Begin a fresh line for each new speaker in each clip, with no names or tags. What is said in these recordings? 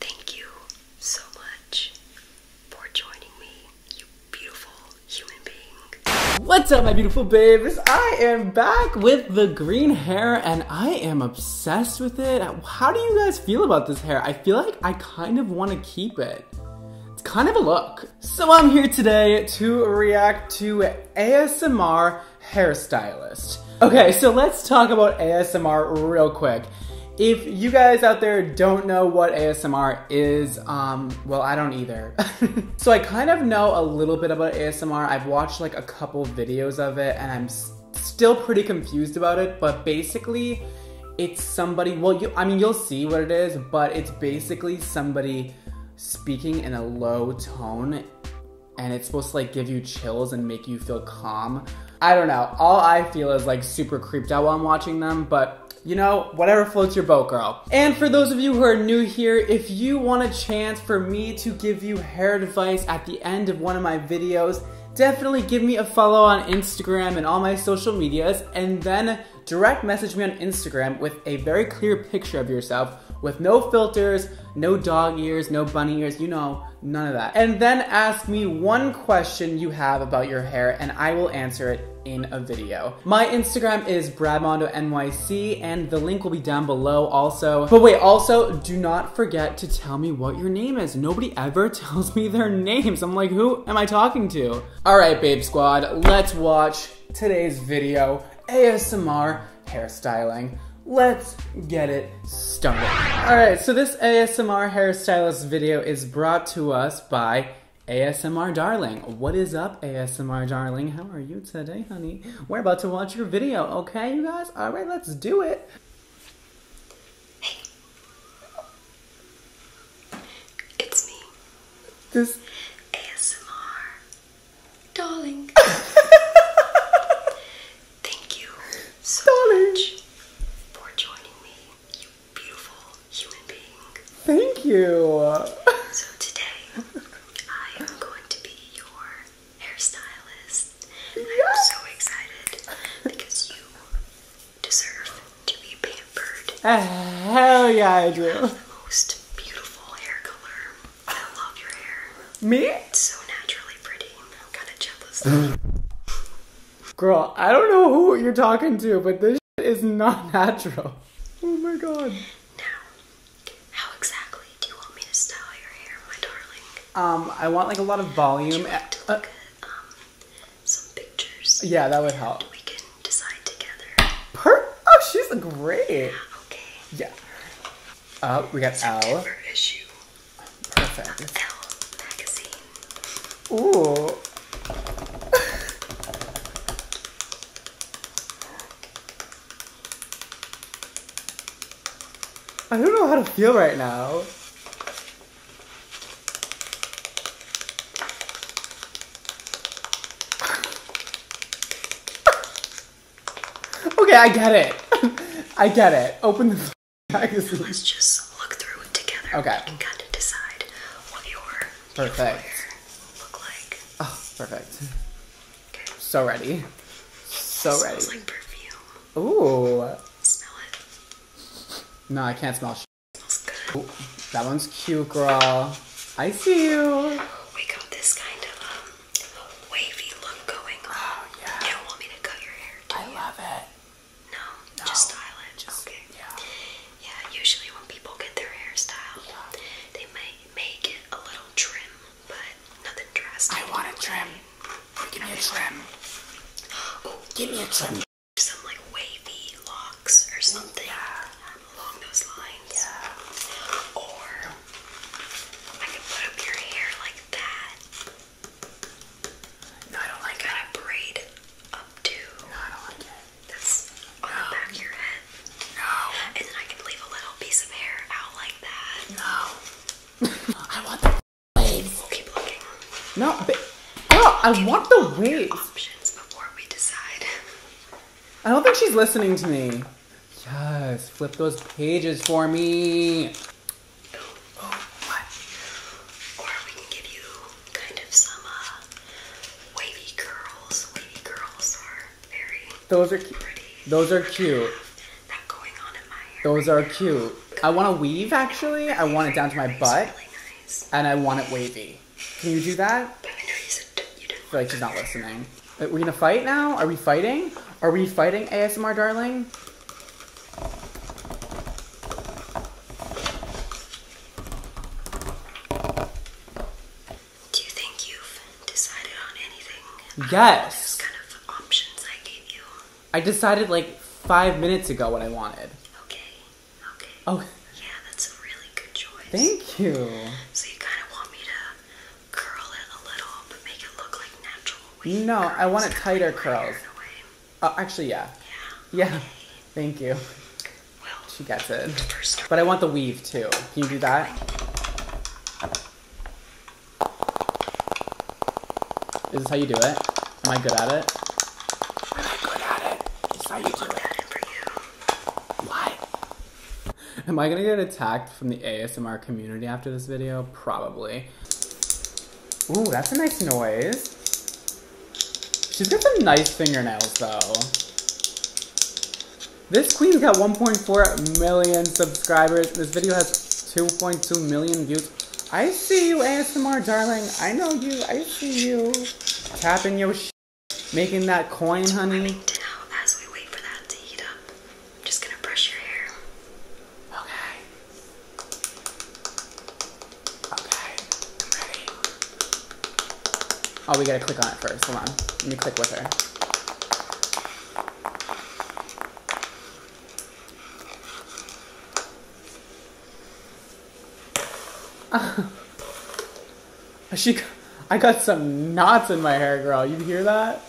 Thank you so much for joining me, you beautiful human being. What's up, my beautiful babes? I am back with the green hair and I am obsessed with it. How do you guys feel about this hair? I feel like I kind of want to keep it It's kind of a look. So I'm here today to react to ASMR hairstylist. Okay, so let's talk about ASMR real quick. If you guys out there don't know what ASMR is, um, well, I don't either. so I kind of know a little bit about ASMR. I've watched like a couple videos of it and I'm still pretty confused about it, but basically, it's somebody, well, you, I mean, you'll see what it is, but it's basically somebody speaking in a low tone and it's supposed to like give you chills and make you feel calm I don't know. All I feel is like super creeped out while I'm watching them, but you know, whatever floats your boat, girl. And for those of you who are new here, if you want a chance for me to give you hair advice at the end of one of my videos, definitely give me a follow on Instagram and all my social medias, and then direct message me on Instagram with a very clear picture of yourself with no filters, no dog ears, no bunny ears, you know, None of that. And then ask me one question you have about your hair and I will answer it in a video. My Instagram is nyc, and the link will be down below also. But wait, also do not forget to tell me what your name is. Nobody ever tells me their names. I'm like, who am I talking to? All right, babe squad, let's watch today's video, ASMR hairstyling. Let's get it started. All right, so this ASMR hairstylist video is brought to us by ASMR Darling. What is up, ASMR Darling? How are you today, honey? We're about to watch your video, okay, you guys? All right, let's do it. Hey. It's me. This ASMR Darling. Thank you so much for joining me, you beautiful human being. Thank you. So today, I am going to be your hairstylist. Yes. I'm so excited because you deserve to be pampered. Uh, hell yeah, I do. the most beautiful hair color. I love your hair. Me? It's so naturally pretty. I'm kind of jealous. Girl, I don't know who you're talking to, but this is not natural. Oh my god. Now, how exactly do you want me to style your hair, my darling? Um, I want like a lot of volume. Like uh, um, some pictures? Yeah, that would help. We can decide together. Per- oh, she's great. Yeah, okay. Yeah. Uh, we got September L. issue. Perfect. L Ooh. I don't know how to feel right now. Okay, I get it. I get it. Open the magazine. Let's just look through it together. Okay. You can kind of decide what your perfect look like. Oh, perfect. Okay. So ready. So ready. Smells like perfume. Ooh. Smell it. No, I can't smell. Smells good. that one's cute, girl. I see you. We got this kind of um, wavy look going on. Oh, you don't want me to cut your hair, do I love it. No, no, just style it. Just, okay. Yeah. Yeah, usually when people get their hair styled, they might make it a little trim, but nothing drastic. I want a trim. Give me a trim. Oh, give me a trim. Some like wavy locks or something along those lines. Yeah. Or I can put up your hair like that. No, I don't like it. Kind braid up No, I don't like it. That's on the back of your head. No. And then I can leave a little piece of hair out like that. No. I want the waves. keep looking. No, but I want the waves. Options before we decide. I don't think she's listening to me. Just flip those pages for me. Oh, what? Or we can give you kind of some uh, wavy curls. Wavy curls are very those are cute. Those are cute. those are cute. I want to weave actually. I want it down to my butt, and I want it wavy. Can you do that? I know you feel like she's not listening. Are uh, we gonna fight now? Are we fighting? Are we fighting, ASMR darling? Do you think you've decided on anything? Yes. options I gave you. I decided like five minutes ago what I wanted. Okay. Okay. Oh. Yeah, that's a really good choice. Thank you. So you kind of want me to no, I want it tighter curls. Oh, actually, yeah. Yeah. yeah. Thank you. Well, she gets it. But I want the weave too. Can you do that? Is this how you do it? Am I good at it? i good at it. This is how you do it. Why? Am I gonna get attacked from the ASMR community after this video? Probably. Ooh, that's a nice noise. She's got some nice fingernails, though. This queen's got 1.4 million subscribers. This video has 2.2 million views. I see you, ASMR darling. I know you. I see you. Tapping your sh making that coin, honey. Dinner as we wait for that to heat up. I'm just gonna brush your hair. Okay. Okay. I'm ready. Oh, we gotta click on it first. Hold on. Let me click with her. Uh, she, I got some knots in my hair, girl. You hear that?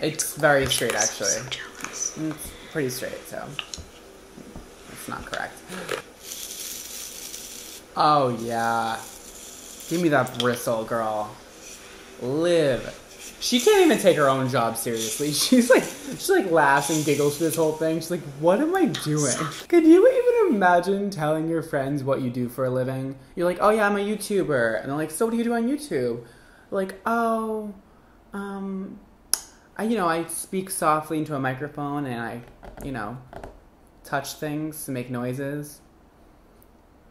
It's very straight, actually. Mm, it's pretty straight, so it's not correct. Oh yeah, give me that bristle, girl. Live. She can't even take her own job seriously. She's like she like laughs and giggles through this whole thing. She's like, "What am I doing?" Could you even imagine telling your friends what you do for a living? You're like, "Oh yeah, I'm a YouTuber," and they're like, "So what do you do on YouTube?" Like, "Oh, um, I, you know, I speak softly into a microphone and I, you know, touch things to make noises."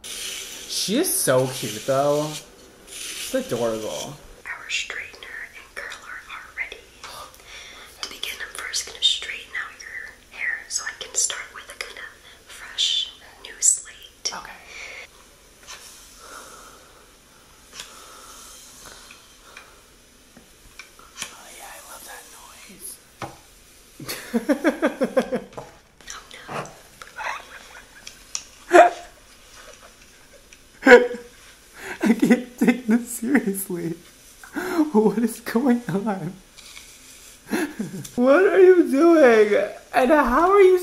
She is so cute though. It's adorable. Our straightener and curler are ready. To begin, I'm first going to straighten out your hair so I can start with a kind of fresh new slate. Okay. Oh, yeah, I love that noise. Oh, I can't take this seriously. What is going on? what are you doing? And how are you?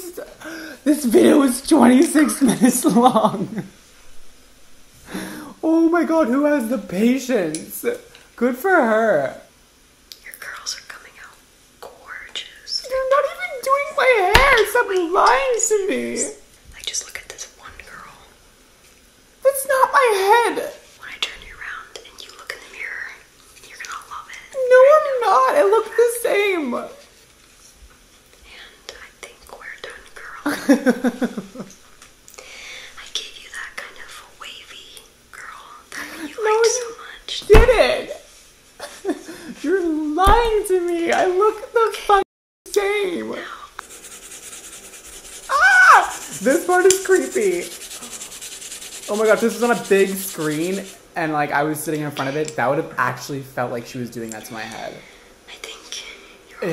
this video is 26 minutes long. Oh my god, who has the patience? Good for her. Your curls are coming out gorgeous. you are not even doing my hair. Stop lying to me. Like, just look at this one girl. That's not my head. When I turn you around and you look in the mirror, you're gonna love it. No, I'm not. I look the same. And I think we're done, girl. I gave you that kind of wavy girl that you liked so much. Did it? You're lying to me. I look the okay. fuck. Same. Ah! This part is creepy. Oh my god, this is on a big screen and like I was sitting in front of it, that would have actually felt like she was doing that to my head. I think.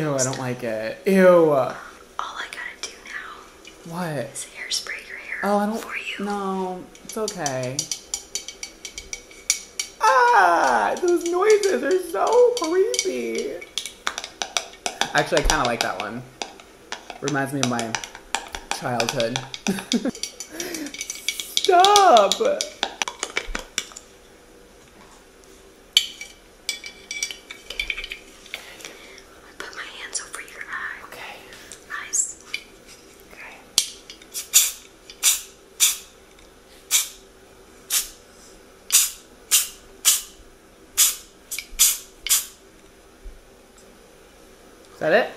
Ew, I don't like it. Ew. All I gotta do now. What? Is hairspray your hair. Oh, I don't. For No, it's okay. Ah, those noises are so creepy. Actually, I kind of like that one. Reminds me of my childhood. Stop! Is that it?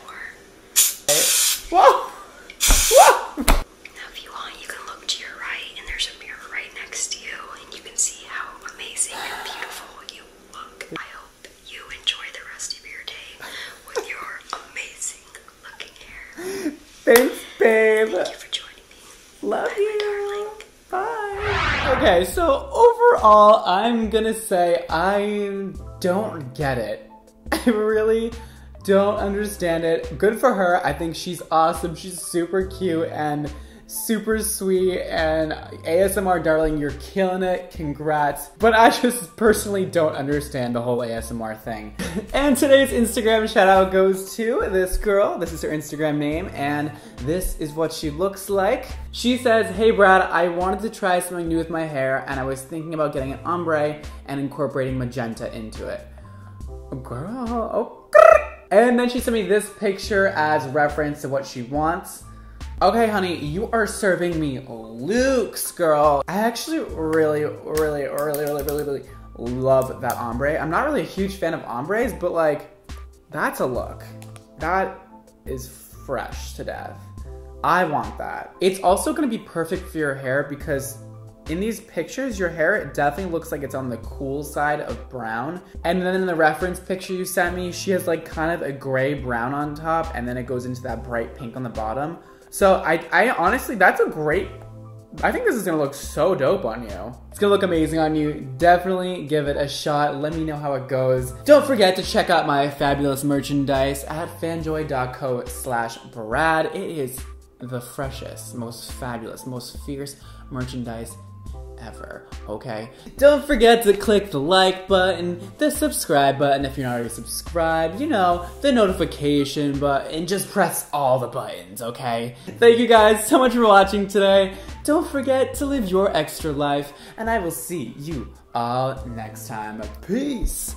Whoa! Whoa! Now if you want, you can look to your right and there's a mirror right next to you and you can see how amazing and beautiful you look. I hope you enjoy the rest of your day with your amazing fucking Thanks, babe. Thank you for joining me. Love Bye, you. Bye. Okay, so overall, I'm gonna say I don't get it. I really don't understand it. Good for her. I think she's awesome. She's super cute and super sweet and ASMR darling, you're killing it. Congrats. But I just personally don't understand the whole ASMR thing. and today's Instagram shout out goes to this girl. This is her Instagram name, and this is what she looks like. She says, Hey Brad, I wanted to try something new with my hair, and I was thinking about getting an ombre and incorporating magenta into it. Girl, And then she sent me this picture as reference to what she wants. Okay, honey, you are serving me Luke's girl. I actually really, really, really, really, really, really love that ombre. I'm not really a huge fan of ombres, but like, that's a look. That is fresh to death. I want that. It's also gonna be perfect for your hair because in these pictures, your hair definitely looks like it's on the cool side of brown. And then in the reference picture you sent me, she has like kind of a gray brown on top and then it goes into that bright pink on the bottom. So I, honestly, that's a great. I think this is gonna look so dope on you. It's gonna look amazing on you. Definitely give it a shot. Let me know how it goes. Don't forget to check out my fabulous merchandise at fanjoy.co slash Brad. It is the freshest, most fabulous, most fierce merchandise ever, okay?
Don't forget to click
the like button, the subscribe button if you're not already subscribed, you know, the notification button, and just press all the buttons, okay? Thank you guys so much for watching today. Don't forget to live your extra life, and I will see you all next time. Peace!